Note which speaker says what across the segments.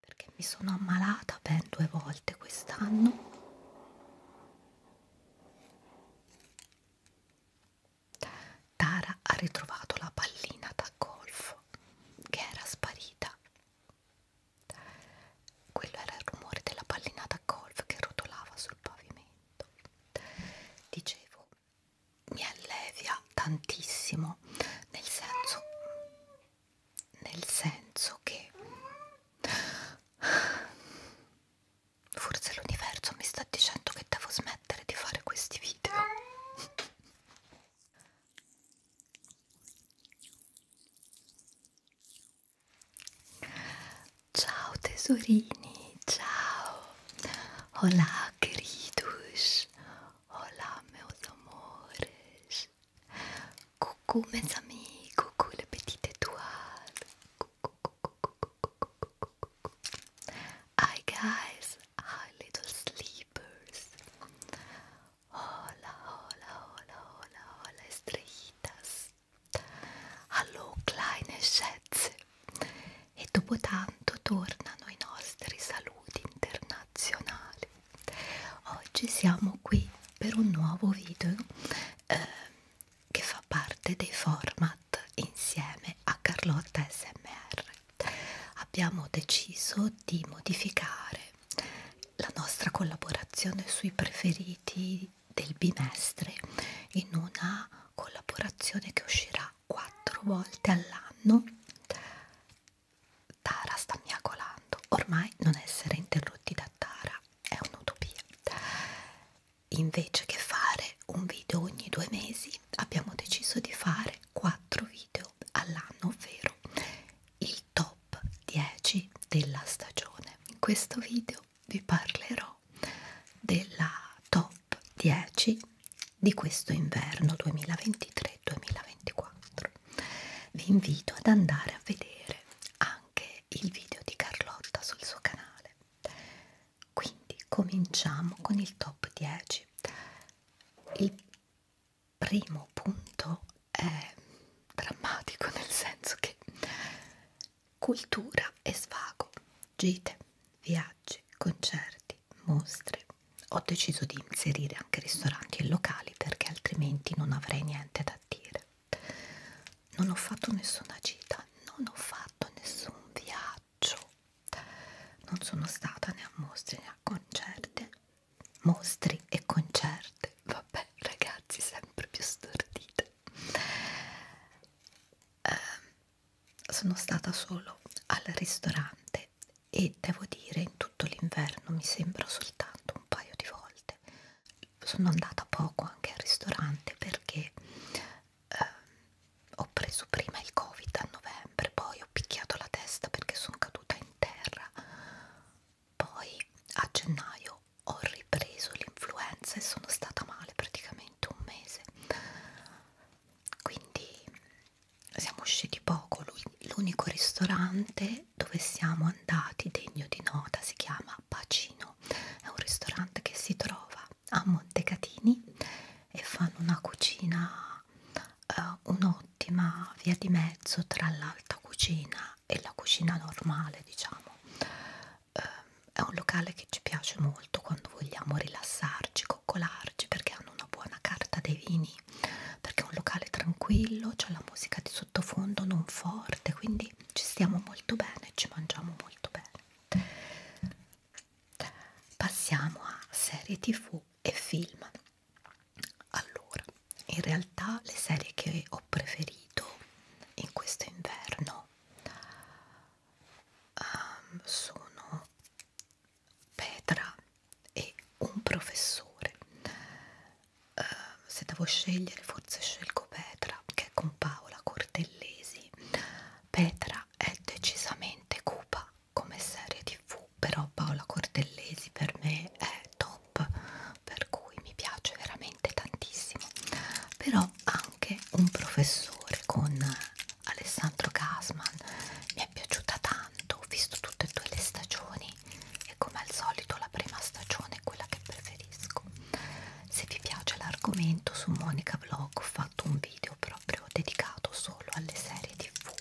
Speaker 1: perché mi sono ammalata ben due volte quest'anno Tara ha ritrovato la pallina da golf che era sparita quello era il rumore della pallina da golf che rotolava sul pavimento dicevo mi allevia tantissimo nel senso nel senso che forse l'universo mi sta dicendo che devo smettere di fare questi video. Ciao tesorini, ciao. Hola queridos, hola meus amores. Coucou mes amis, coucou le petit étoile. Coucou, coucou, coucou, coucou, coucou, coucou. Hi guys, hi little sleepers. Hola, hola, hola, hola, hola estrellitas. Hallo kleine schätze. E dopo tanto tornano i nostri saluti internazionali nazionali oggi siamo qui per un nuovo video eh, che fa parte dei format insieme a Carlotta SMR abbiamo deciso di modificare la nostra collaborazione sui preferiti del bimestre in una collaborazione che uscirà quattro volte all'anno Tara sta miagolando, ormai non essere interrotti da Tara è un'utopia. Invece che fare un video ogni due mesi, abbiamo deciso di fare quattro video all'anno, ovvero il top 10 della stagione. In questo video vi parlerò della top 10 di questo inverno 2023-2024. Vi invito ad andare a vedere anche il video di Carlotta sul suo canale. Quindi cominciamo con il top 10. Il primo punto è drammatico nel senso che cultura e svago, gite, viaggi, spiagge, concerti, mostre. Ho deciso di inserire anche ristoranti e locali perché altrimenti non avrei niente da dire. Non ho fatto nessuna gita, non ho fatto nessun viaggio. Non sono stata né a mostre né a concerte. Mostri e concerte, vabbè ragazzi, sempre più stordite. Uh, sono stata solo al ristorante e devo dire in tutto l'inverno mi sembra soltanto un paio di volte sono andata poco anche al ristorante perché eh, ho preso prima il covid a novembre poi ho picchiato la testa perché sono caduta in terra poi a gennaio ho ripreso l'influenza e sono stata male praticamente un mese quindi siamo usciti poco, l'unico ristorante dove siamo andati degno di nota si chiama Pacino, è un ristorante che si trova a Montecatini e fanno una cucina, eh, un'ottima via di mezzo tra l'alta cucina e la cucina normale diciamo, eh, è un locale che ci piace molto molto quando vogliamo rilassarci, coccolarci perché hanno una buona carta dei vini perché è un locale tranquillo, c'è la musica di sottofondo non forte quindi ci stiamo molto bene, ci mangiamo molto bene passiamo a serie tv e film allora, in realtà le serie che ho preferito in questo inverno um, sono Petra e un professore. Uh, se devo scegliere, forse scelgo Petra, che è con Paola Cortellesi. Petra è decisamente cupa come serie tv, però Paola Cortellesi per me è top, per cui mi piace veramente tantissimo. Però anche un professore con Alessandro Gasman mi è piaciuta tanto, ho visto tutte e due le stagioni e come al solito la prima stagione è quella che preferisco. Se vi piace l'argomento su Monica Vlog ho fatto un video proprio dedicato solo alle serie tv.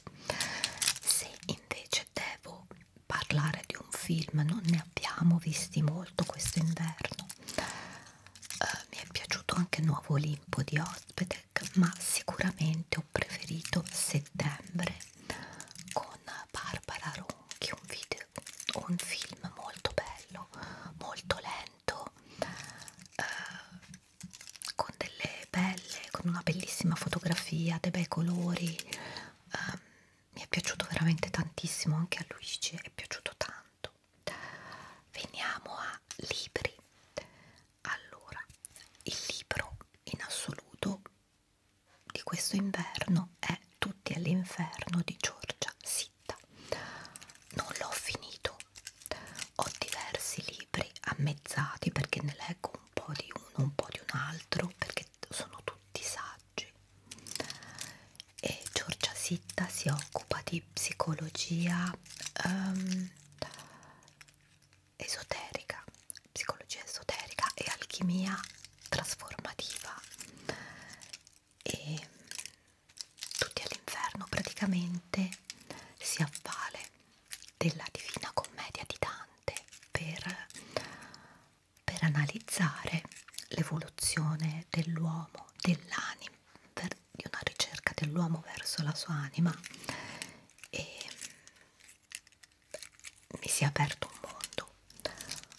Speaker 1: Se invece devo parlare di un film non ne abbiamo visti molto questo inverno eh, mi è piaciuto anche il nuovo Olimpo di Ospedec ma sicuramente ho preferito settembre con Barbara Ronchi un video un film molto bello molto lento eh, con delle belle con una bellissima fotografia dei bei colori eh, mi è piaciuto veramente tantissimo anche a Luigi è piaciuto tanto Veniamo a libri. Allora, il libro in assoluto di questo inverno è Tutti all'inferno di Giorgia Sitta. Non l'ho finito, ho diversi libri ammezzati perché ne leggo un po' di uno, un po' di un altro, perché sono tutti saggi e Giorgia Sitta si occupa di psicologia um, esoterica, psicologia esoterica e alchimia trasformativa e tutti all'inferno praticamente si avvale della Divina Commedia di Dante per, per analizzare l'evoluzione dell'uomo, dell'anima, di una ricerca dell'uomo verso la sua anima e mi si è aperto un mondo.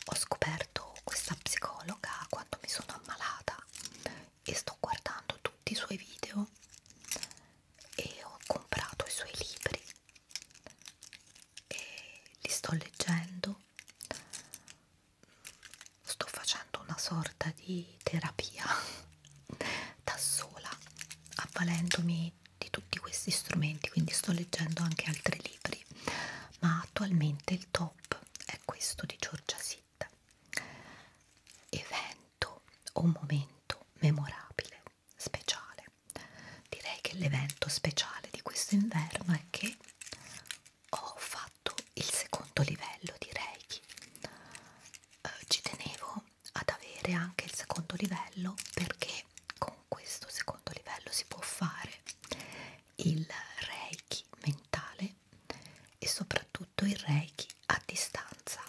Speaker 1: Ho scoperto questa psicologa quando mi sono ammalata e sto guardando tutti i suoi video e ho comprato i suoi libri e li sto leggendo sto facendo una sorta di terapia da sola avvalendomi di tutti questi strumenti quindi sto leggendo anche altri libri ma attualmente il top è questo di Giorgia Sitt evento o momento memorabile speciale direi che l'evento speciale di questo inverno è che ho fatto il secondo livello di Reiki. Eh, ci tenevo ad avere anche il secondo livello perché con questo secondo livello si può fare il Reiki mentale e soprattutto il Reiki a distanza.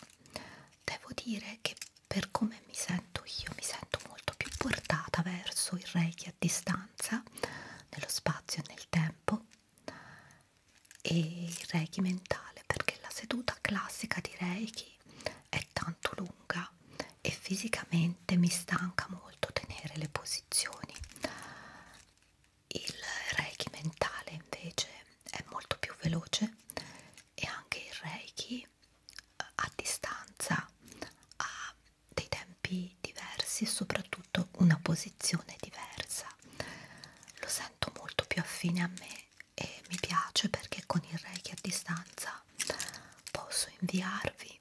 Speaker 1: Devo dire che per come mi sento io mi sento molto più portata verso il Reiki a distanza nello spazio e nel tempo e il reiki mentale perché la seduta classica di reiki è tanto lunga e fisicamente mi stanca molto tenere le posizioni il reiki mentale invece è molto più veloce e anche il reiki eh, a distanza ha dei tempi diversi e soprattutto una posizione diversa. Lo sento molto più affine a me e mi piace perché con il Reiki a distanza posso inviarvi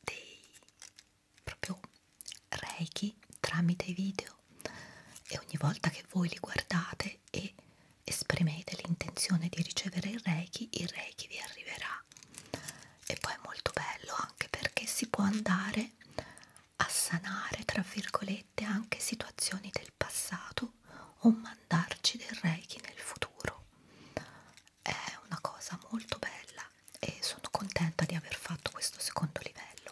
Speaker 1: dei proprio Reiki tramite video e ogni volta che voi li guardate e esprimete l'intenzione di ricevere il Reiki, il Reiki vi arriverà e poi è molto bello anche perché si può andare a sanare tra virgolette anche situazioni del passato o mandarci del reiki nel futuro è una cosa molto bella e sono contenta di aver fatto questo secondo livello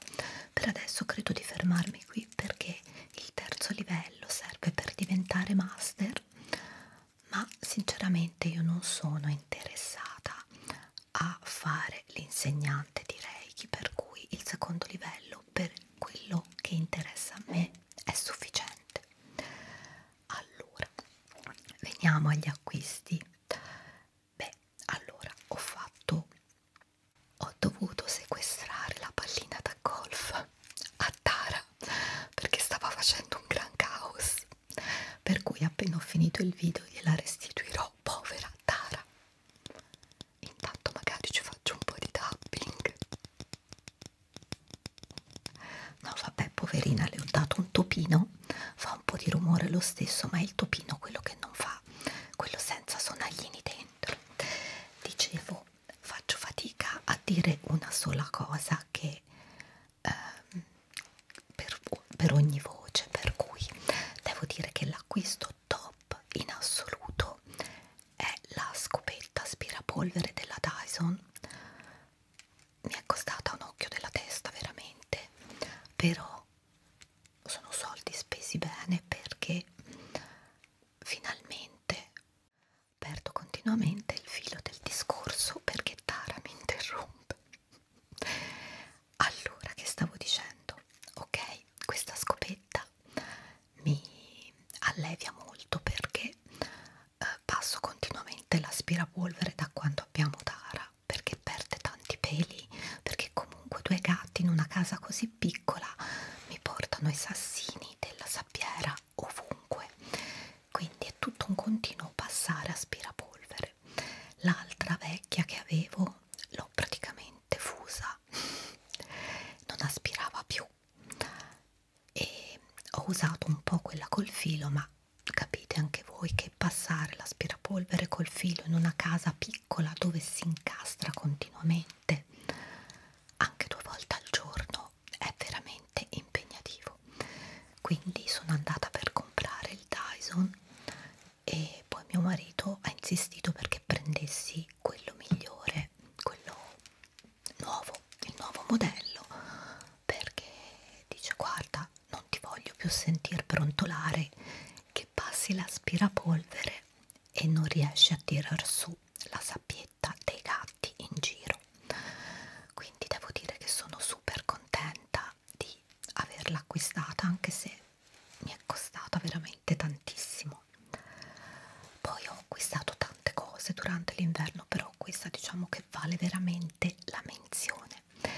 Speaker 1: per adesso credo di fermarmi qui perché il terzo livello serve per diventare master ma sinceramente io non sono interessata a fare l'insegnante di Reiki, per cui il secondo livello per quello che interessa a me è sufficiente. Allora, veniamo agli acquisti. Beh, allora ho fatto ho dovuto sequestrare la pallina da golf a Tara perché stava facendo un gran caos per cui appena ho finito il video gliela restituirò, povera Tara. Intanto magari ci faccio un po' di tapping. No vabbè, poverina, le ho dato un topino, fa un po' di rumore lo stesso, ma è il topino quello che non fa, quello senza sonaglini dentro. Dicevo, faccio fatica a dire una sola cosa che ehm, per, per ogni voce, per cui devo dire che l'acquisto top in assoluto è la scopetta aspirapolvere della Dyson. Mi è costata un occhio della testa veramente, però sono soldi spesi bene perché finalmente perdo continuamente il filo del discorso perché Tara mi interrompe rompe allora che stavo dicendo ok questa scopetta mi allevia molto perché eh, passo continuamente l'aspirapolvere da quando abbiamo Tara perché perde tanti peli perché comunque due gatti in una casa così piccola mi portano i sassini della sabbiera ovunque quindi è tutto un continuo passare aspirapolvere l'altra vecchia che avevo l'ho praticamente fusa non aspirava più e ho usato un po' quella col filo ma capite anche voi che passare l'aspirapolvere col filo in una casa piccola dove si incastra continuamente anche due volte al giorno però è veramente impegnativo quindi sono andata per comprare il Dyson e poi mio marito ha insistito perché prendessi quello migliore quello nuovo il nuovo modello perché dice guarda non ti voglio più sentir brontolare che passi l'aspirapolvere e non riesci a tirar su la sappienza maglietta dei gatti in giro quindi devo dire che sono super contenta di averla acquistata anche se mi è costata veramente tantissimo poi ho acquistato tante cose durante l'inverno però questa diciamo che vale veramente la menzione eh,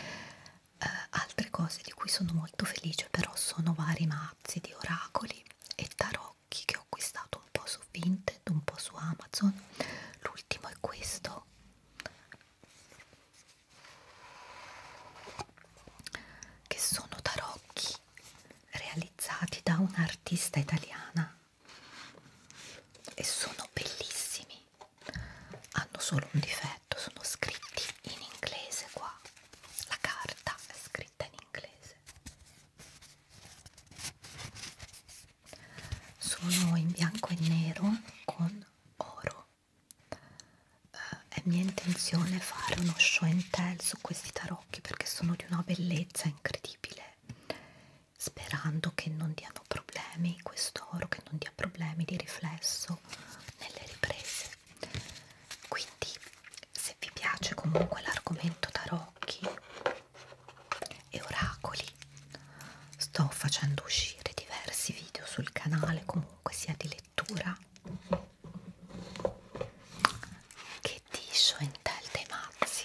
Speaker 1: altre cose di cui sono molto felice però sono vari mazzi di oracoli e tarocchi che ho acquistato un po' su Vinted, un po' su Amazon. L'ultimo è questo. Che sono tarocchi realizzati da un'artista italiana e sono bellissimi. Hanno solo un difetto, sono scritti in inglese qua. La carta è scritta in inglese sono in bianco e nero con oro uh, è mia intenzione fare uno show and tell su questi tarocchi perché sono di una bellezza incredibile sperando che non diano problemi questo oro che non dia problemi di riflesso nelle riprese quindi se vi piace comunque l'argomento tarocchi e oracoli sto facendo uscire diversi video sul canale comunque sia di lettura che di Shoentel dei mazzi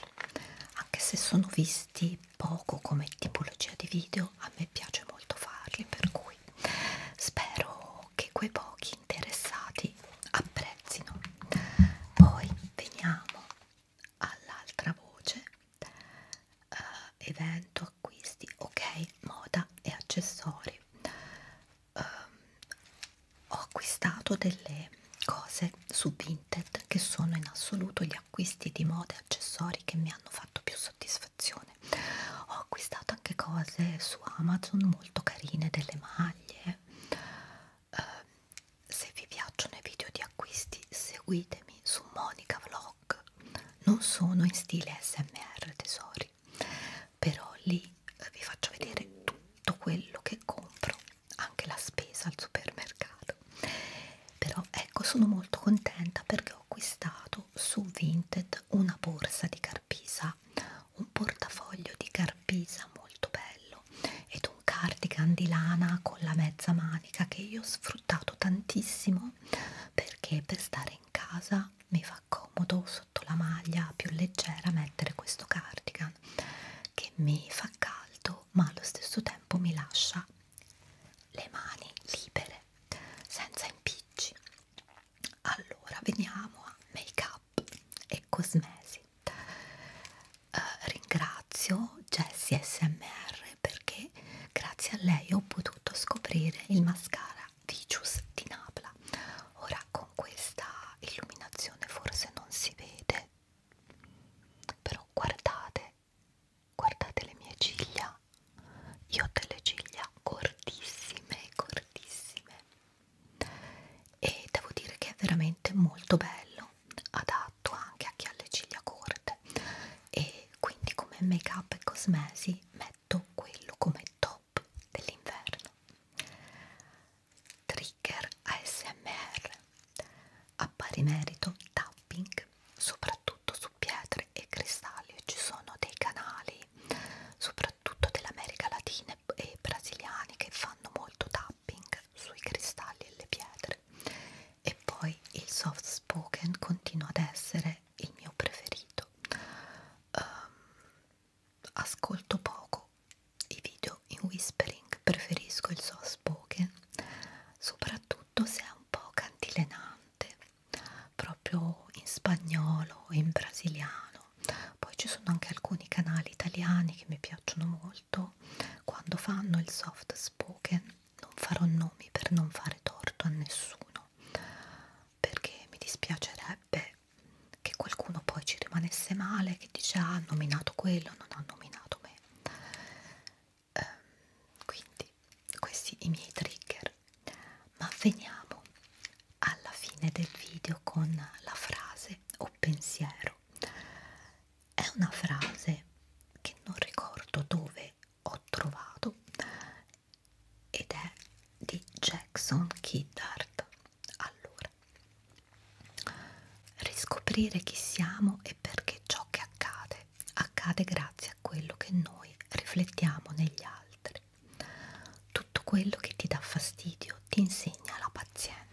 Speaker 1: anche se sono visti poco come tipologia di video a me piace molto farli per cui spero che quei pochi interessati apprezzino poi veniamo all'altra voce uh, evento acquisti ok moda e accessori uh, ho acquistato delle cose su vinted che sono in assoluto gli acquisti di moda e accessori che mi hanno fatto più soddisfazione ho acquistato anche cose su amazon molto carine delle maglie eh, se vi piacciono i video di acquisti seguitemi su Monica Vlog non sono in stile smr tesori però lì eh, vi faccio vedere tutto quello che compro anche la spesa al supermercato però ecco sono molto contenta perché ho acquistato su Vinted una borsa di Carpisa un portafoglio di Carpisa Pisa molto bello ed un cardigan di lana con la mezza manica che io ho sfruttato tantissimo perché per stare in casa mi fa comodo sotto la maglia più leggera mettere questo cardigan che mi fa caldo ma allo stesso tempo mi lascia le mani libere senza impicci allora veniamo a make up e cosmesi. Uh, ringrazio Jessie SMR perché grazie a lei ho potuto scoprire il mascara Vicious di Napla. Ora con questa illuminazione forse non si vede, però guardate, guardate le mie ciglia. Io ho delle ciglia cortissime, cortissime e devo dire che è veramente molto bello adatto anche a chi ha le ciglia corte e quindi come make up e cosmesi metto quello come top dell'inverno trigger ASMR a pari merito tapping soprattutto su pietre e cristalli ci sono dei canali soprattutto soprattutto dell'America Latina e brasiliani che fanno molto tapping sui cristalli e le pietre. E poi il soft spoken continua ad essere il mio preferito. Um, ascolto poco i video in whispering, preferisco il soft spoken, soprattutto se è un po' cantilenante, proprio in spagnolo, in brasiliano poi ci sono anche alcuni canali italiani che mi piacciono molto quando fanno il soft spoken non farò nomi per non fare torto a nessuno perché mi dispiacerebbe che qualcuno poi ci rimanesse male che dice ah, ha nominato quello non ha nominato me ehm, quindi questi i miei trigger ma veniamo alla fine del video con la frase frase o pensiero. È una frase che non ricordo dove ho trovato ed è di Jackson Kiddard. Allora, riscoprire chi siamo e perché ciò che accade accade grazie a quello che noi riflettiamo negli altri male. Tutto quello che ti dà fastidio ti insegna la pazienza.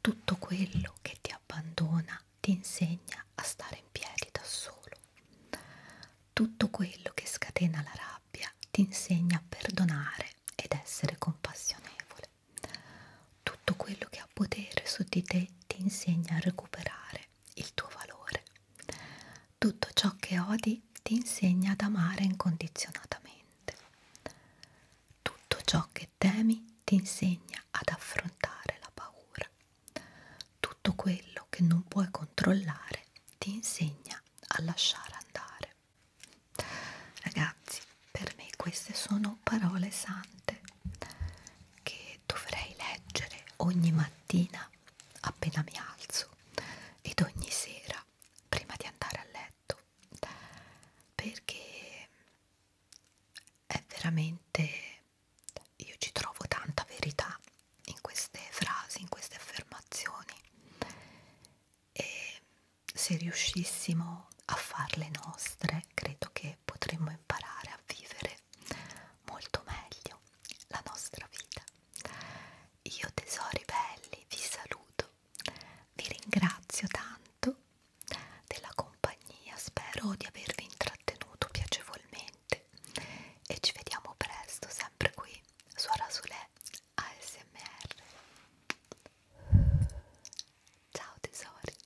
Speaker 1: Tutto quello che ti abbandona ti insegna a stare in piedi da solo. Tutto quello che scatena la rabbia ti insegna a perdonare ed essere compassionevole. Tutto quello che ha potere su di te ti insegna a recuperare il tuo valore. Tutto ciò che odi poi ti insegna ad amare incondizionatamente. Tutto ciò che temi ti insegna ad affrontare la paura. Tutto quello che non puoi controllare ti insegna a lasciare andare. Ragazzi, per me queste sono parole sante che dovrei leggere ogni mattina appena mi alzo ed ogni sera prima di andare a letto perché è veramente io ci trovo tanta verità in queste frasi, in queste affermazioni e se riuscissimo a farle nostre credo che potremmo imparare a vivere molto meglio la nostra vita io tesori belli vi saluto, vi ringrazio tanto della compagnia, spero di avervi intrattenuto piacevolmente e ci vediamo presto sempre qui su Arasulè ASMR. Ciao tesori!